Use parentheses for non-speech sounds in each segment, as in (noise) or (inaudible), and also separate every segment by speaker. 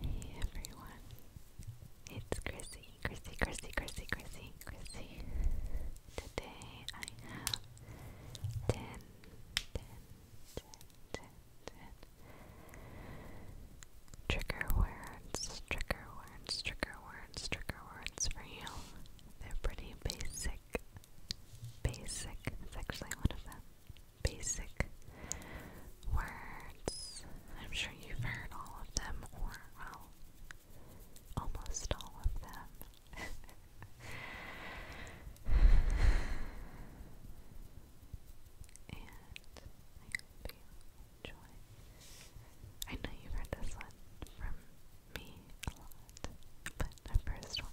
Speaker 1: Hey everyone, it's Chrissy, Chrissy, Chrissy, Chrissy, Chrissy, Chrissy. Today I have 10, trigger words, trigger words, trigger words, trigger words for you. They're pretty basic. Basic is actually one of them basic words. I'm sure you've heard all of them, or, well, almost all of them. (laughs) and I hope I know you've heard this one from me a lot, but the first one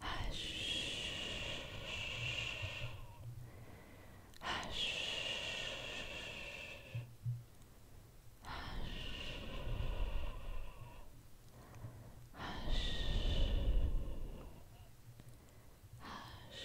Speaker 1: Hush. Hush. Hush. Hush. Hush. Hush. Hush.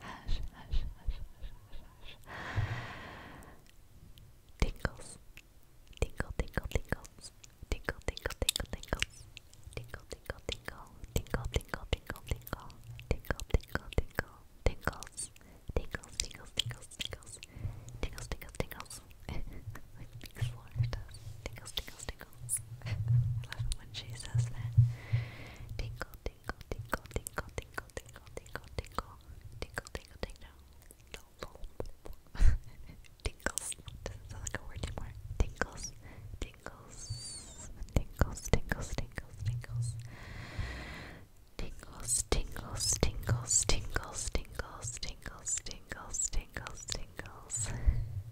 Speaker 1: hush, hush, hush, hush, hush, Tinkles, tinkle, tinkle, tinkles, tinkle, tinkle, tinkle, tinkles, tinkle, tinkle, tinkle, tinkle, tinkle, tinkle, tinkle, tinkle, tinkle, tinkle, tinkles, tinkles, tinkles, tinkles, tinkles, tinkles, tinkles, tinkles. (laughs) Like Pink Slaughter does. Tinkles, tinkles, tinkles. I (laughs) love it when she says that. Tinkle, tingle, tingle, tingle, tingle, tingle, tingle, tingle, tingle, tingle, tingle, no, (laughs) tingles, doesn't sound like a word anymore, tingles, tingles, tingles, tingles, tingles, tingles, tingles, tingles, tingles, tingles, tingles, tingles, tingles, tingles, tingles,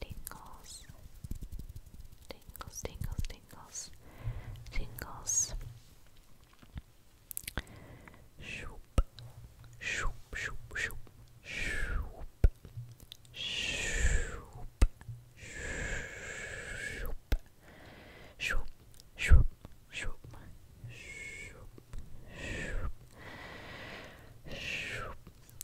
Speaker 1: tingles, tingles, tingles, tingles, tingles. Shoop, shoop, shoop, shoop, shoop, shoop, shoop, shoop, shoop, shoop, shoop, shoop, shoop,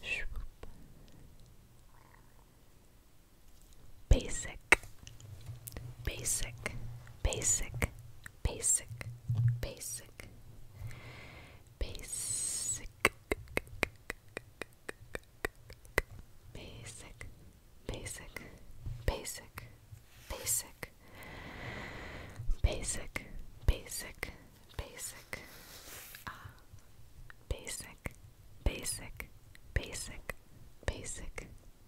Speaker 1: Shoop. Basic, basic, basic, basic, basic, basic, basic, basic, basic, basic, basic, basic, basic, uh, basic, basic, basic, basic,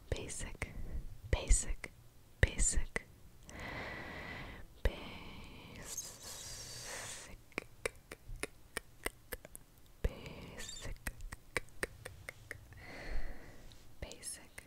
Speaker 1: basic, basic, basic, basic. Basic, basic,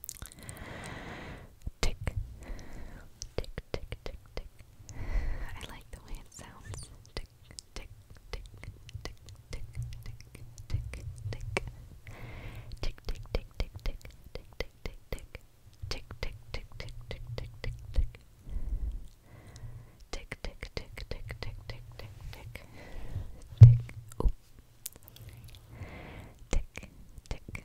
Speaker 1: Tick, tick, tick, tick, tick. I like the way it sounds. Tick, tick, tick, tick, tick, tick, tick, tick. Tick, tick, tick, tick, tick, tick, tick, tick, tick. Tick, tick, tick, tick, tick, tick, tick, tick. Tick, tick, tick, tick, tick, tick, tick, tick. Tick. Tick, tick, tick, tick,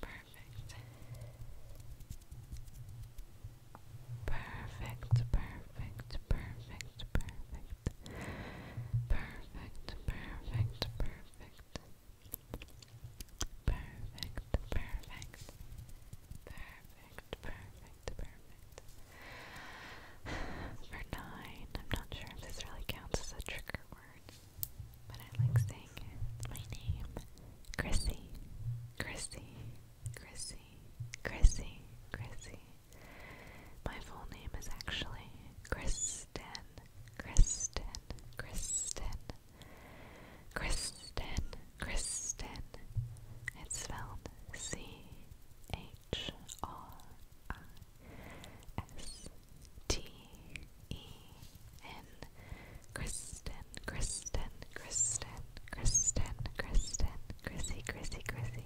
Speaker 1: perfect. Perfect, perfect, perfect, perfect. Perfect, perfect, perfect. Perfect, perfect. Perfect, perfect, For nine, I'm not sure if this really counts as a trigger word. But I like saying it. It's my name. Chrissy. Chrissy. Chrissy. Chrissy. Chrissy. My full name is actually Kristen. Kristen. Kristen. Kristen. Kristen. It's spelled C H R I S T E N Kristen, Kristen, Kristen, Kristen, Kristen, Chrissy, Chrissy, Chrissy.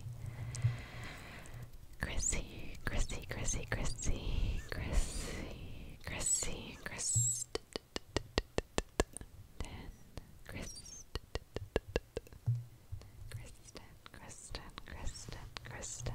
Speaker 1: Chrissy, Chrissy, Chrissy, Kristen, Kristen, Kristen, Kristen, Kristen, Kristen, Kristen, Kristen, Kristen, Kristen.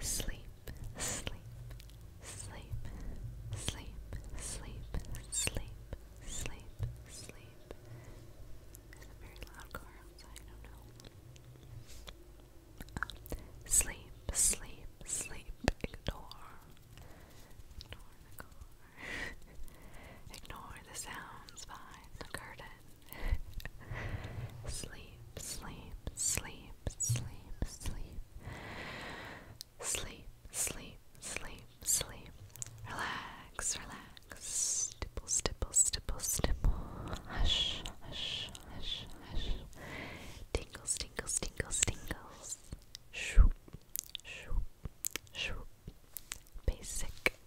Speaker 1: Sleep, sleep, sleep, sleep, sleep, sleep, sleep, sleep. There's a very loud car outside, I don't know. sleep, sleep, sleep, ignore. Ignore the car. (laughs) ignore the sounds behind the curtain sleep, sleep, sleep, sleep, sleep. Sleep, sleep, sleep, sleep. Relax, relax. Stipple, stipple, stipple, stipple. Hush, hush, hush, hush. Tingles, tingles, tingles, tingles. Shoop, shoop, shoop. Basic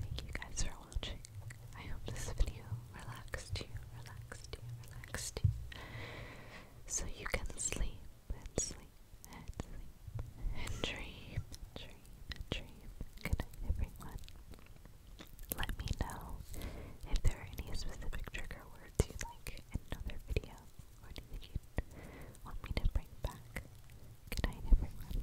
Speaker 1: Thank you guys for watching. I hope this video relaxed you, relaxed you, relaxed you. So you can sleep and sleep and sleep and dream, dream, dream. Good night, everyone. Let me know if there are any specific trigger words you like in another video or anything you want me to bring back. Good night, everyone.